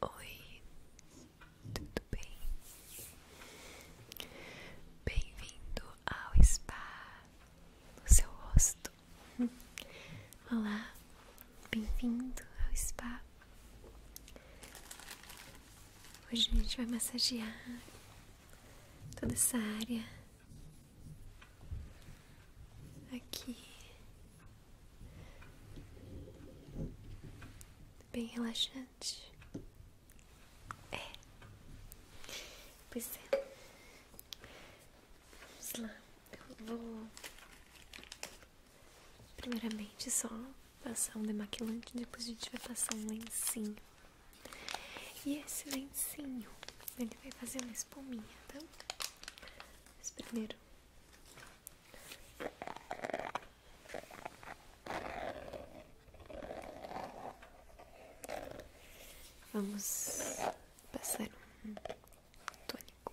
Oi, tudo bem? Bem-vindo ao spa no seu rosto. Olá, bem-vindo ao spa. Hoje a gente vai massagear toda essa área aqui Bem relaxante. É. Pois é. Vamos lá. Eu vou. Primeiramente, só passar um demaquilante. Depois a gente vai passar um lencinho. E esse lencinho, ele vai fazer uma espuminha, tá? Mas primeiro. Vamos a pasar un tónico.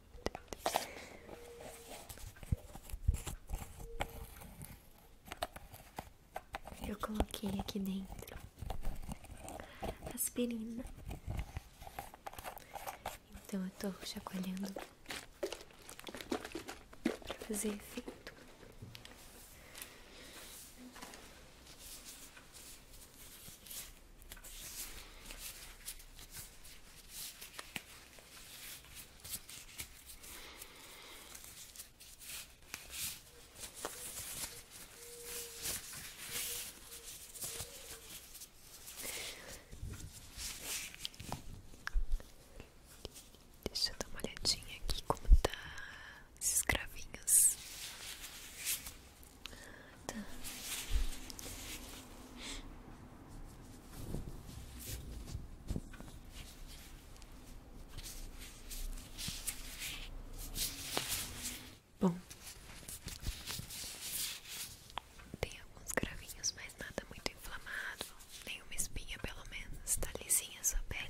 Eu coloquei aqui dentro aspirina. Então eu tô chacoalhando pra fazer efeito. Deixa eu dar uma olhadinha aqui como tá esses cravinhos. Tá. Bom, tem alguns gravinhos, mas nada muito inflamado, nenhuma espinha pelo menos, tá lisinha sua pele.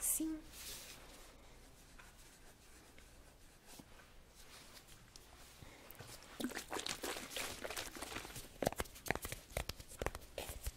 Sim.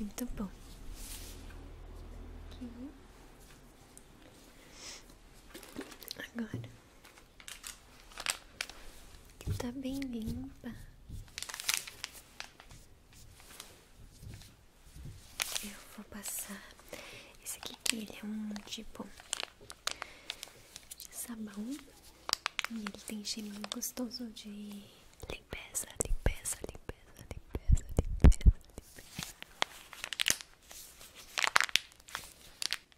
Muito bom. Aqui. Agora tá bem limpa. Eu vou passar esse aqui que ele é um tipo de sabão e ele tem cheirinho gostoso de limpeza, limpeza, limpeza, limpeza, limpeza, limpeza.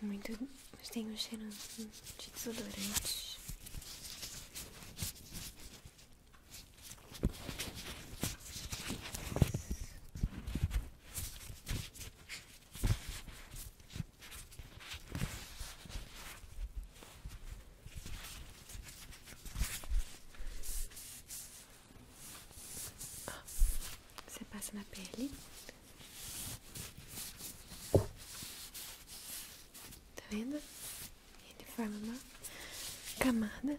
Muito. Mas tem um cheiro de desodorante. Ah, você passa na pele, tá vendo? Ele forma uma camada.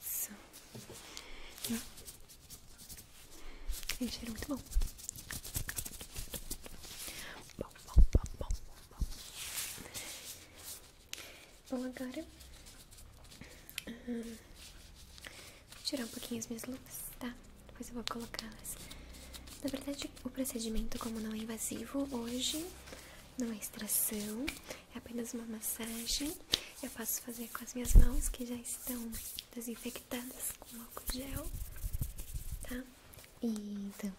Isso. Hum. Tem cheiro muito bom. Bom, bom, bom, bom, bom, bom. agora. vou tirar um pouquinho as minhas luvas, tá? Depois eu vou colocá-las. Na verdade, o procedimento, como não é invasivo, hoje não é extração, é apenas uma massagem. Eu posso fazer com as minhas mãos que já estão desinfectadas com álcool gel, tá? E então,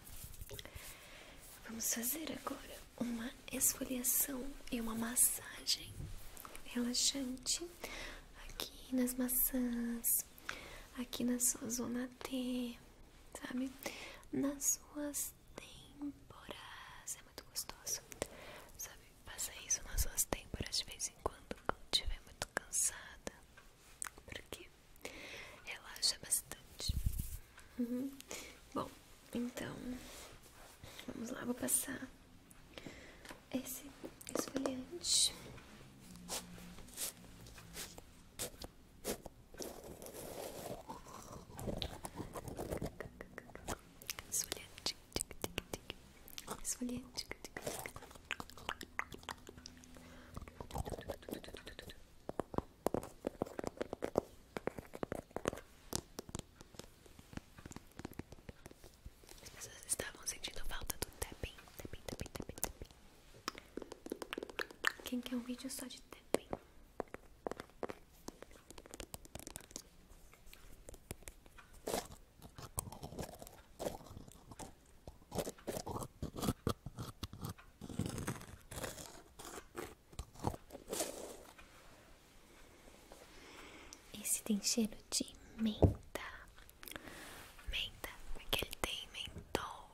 vamos fazer agora uma esfoliação e uma massagem relaxante aqui nas maçãs, aqui na sua zona T, sabe? Nas suas têmporas. É muito gostoso. Sabe, faça isso nas suas têmporas de vez em quando, quando estiver muito cansada. Porque relaxa bastante. Uhum. Bom, então vamos lá, vou passar esse esfoliante esfoliante, esfoliante. As pessoas estavam sentindo falta do tapping, tapping, tapping, tapping, tapping. Quem quer um vídeo só de tapping? Esse tem cheiro de menta, menta, porque ele tem mentol.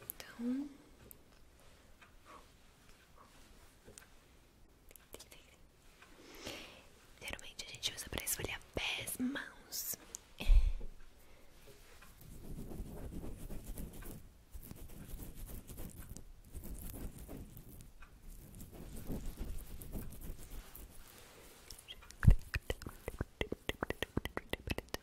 Então. Geralmente a gente usa para esfoliar pés, mãos.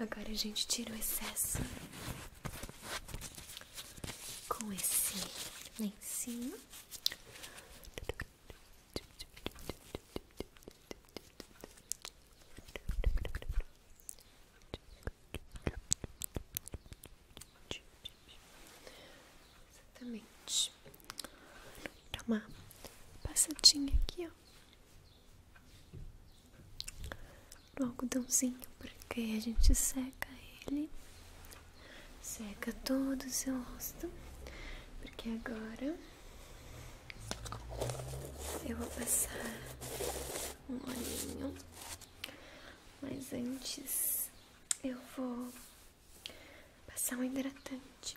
Agora a gente tira o excesso com esse lencinho. Exatamente. Dá uma passadinha aqui, ó. No algodãozinho, porque a gente seca ele Seca todo o seu rosto, porque agora eu vou passar um olhinho, mas antes eu vou passar um hidratante.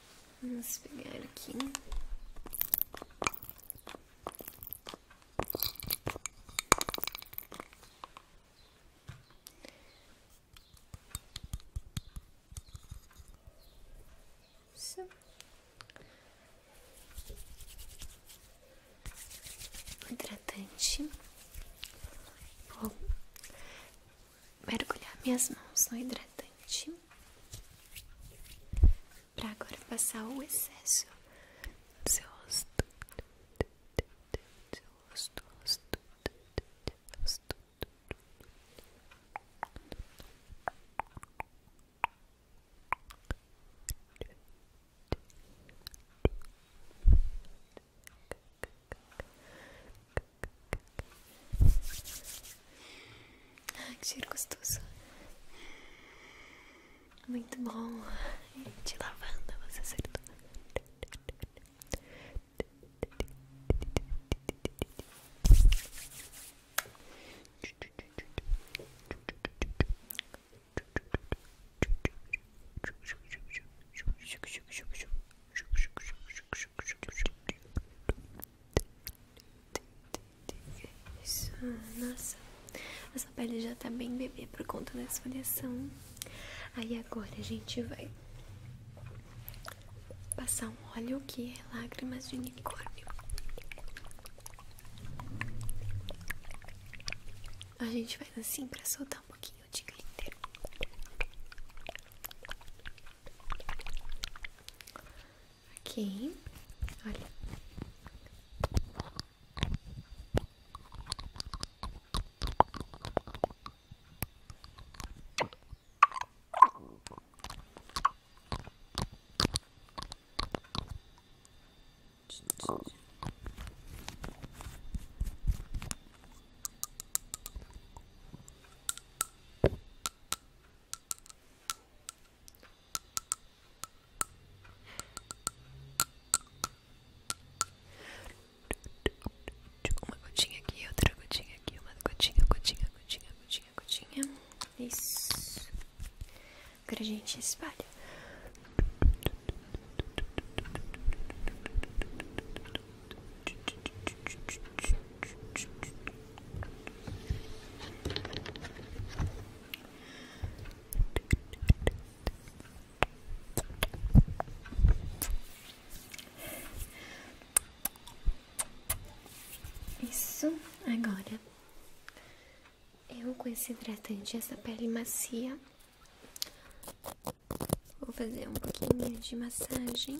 Vamos pegar aqui. Isso. Hidratante mergulhar minhas mãos no hidratante para agora passar o excesso do seu rosto, do seu rosto, rosto, rosto. Rosto, rosto, rosto, rosto ah, que cheiro gostoso. Muito bom. De lavanda, você acertou. Isso, nossa, essa pele já tá bem bebê por conta dessa esfoliação. Aí agora a gente vai passar um óleo que é lágrimas de unicórnio. A gente faz assim pra soltar um pouquinho pouquinho de glitter Ok, olha uma gotinha aqui, outra gotinha aqui, uma gotinha, gotinha, gotinha, gotinha, gotinha. Isso. Agora a gente espalha. Isso agora eu com esse hidratante, essa pele macia, Vou fazer um pouquinho de massagem.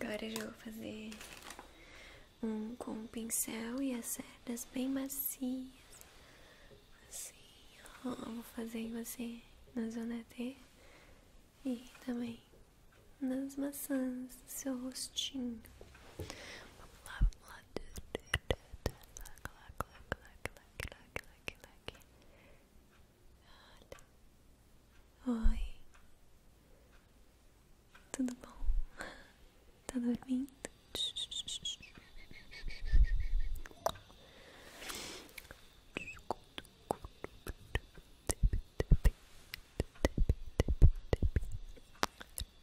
Agora eu vou fazer um com o pincel e as cerdas bem macias. Assim, ó. Vou fazer em você na zona T e também nas maçãs do seu rostinho. Vamos lá, vamos lá like, like, like, like. Olha. Oi. Tudo bom? Tá dormindo?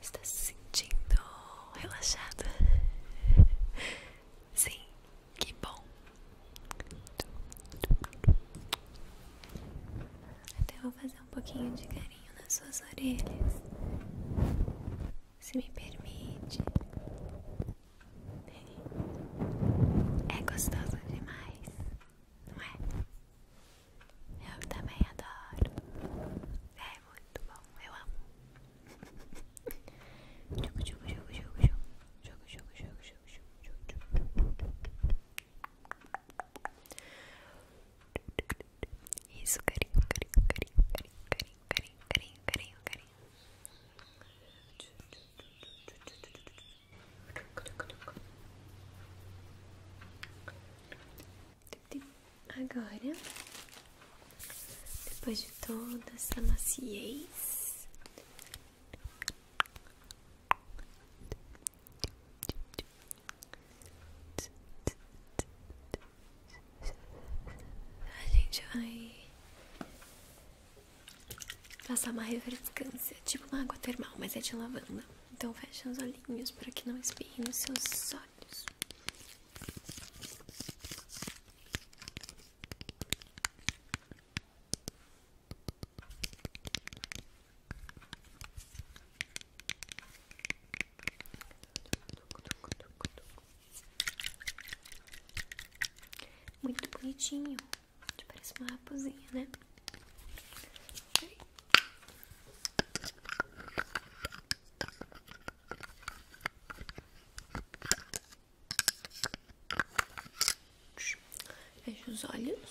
Está se sentindo relaxada? Sim, que bom. Até vou fazer um pouquinho de carinho nas suas orelhas se me permite. É gostosa demais, não é? Eu também adoro. É muito bom, eu amo. Jogo, jogo, jogo, jogo, jogo. Jogo, jogo, jogo, jogo, jogo, jogo, jogo. Isso, carinho, carinho, carinho, carinho, carinho, carinho, carinho, carinho, carinho. Agora, depois de toda essa maciez, a gente vai passar uma refrescância, tipo uma água termal, mas é de lavanda. Então fecha os olhinhos para que não espirre nos seus olhos. Muito bonitinho. Te parece uma raposinha, né? Fecha os olhos.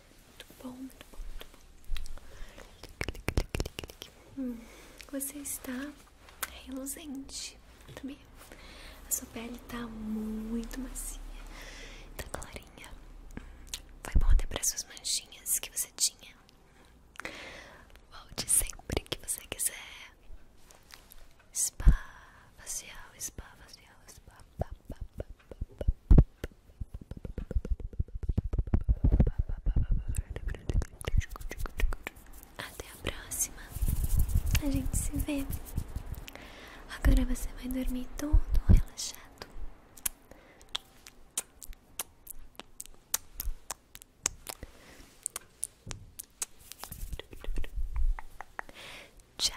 Muito bom, muito bom, muito bom. Hum, você está reluzente, muito bem. A sua pele está muito macia, tá clarinha. Foi bom até para essas manchinhas que você tinha. Volte sempre que você quiser. Spa facial, spa facial, spa, até a próxima. A gente se vê. Agora você vai dormir todo relaxado. Tchau.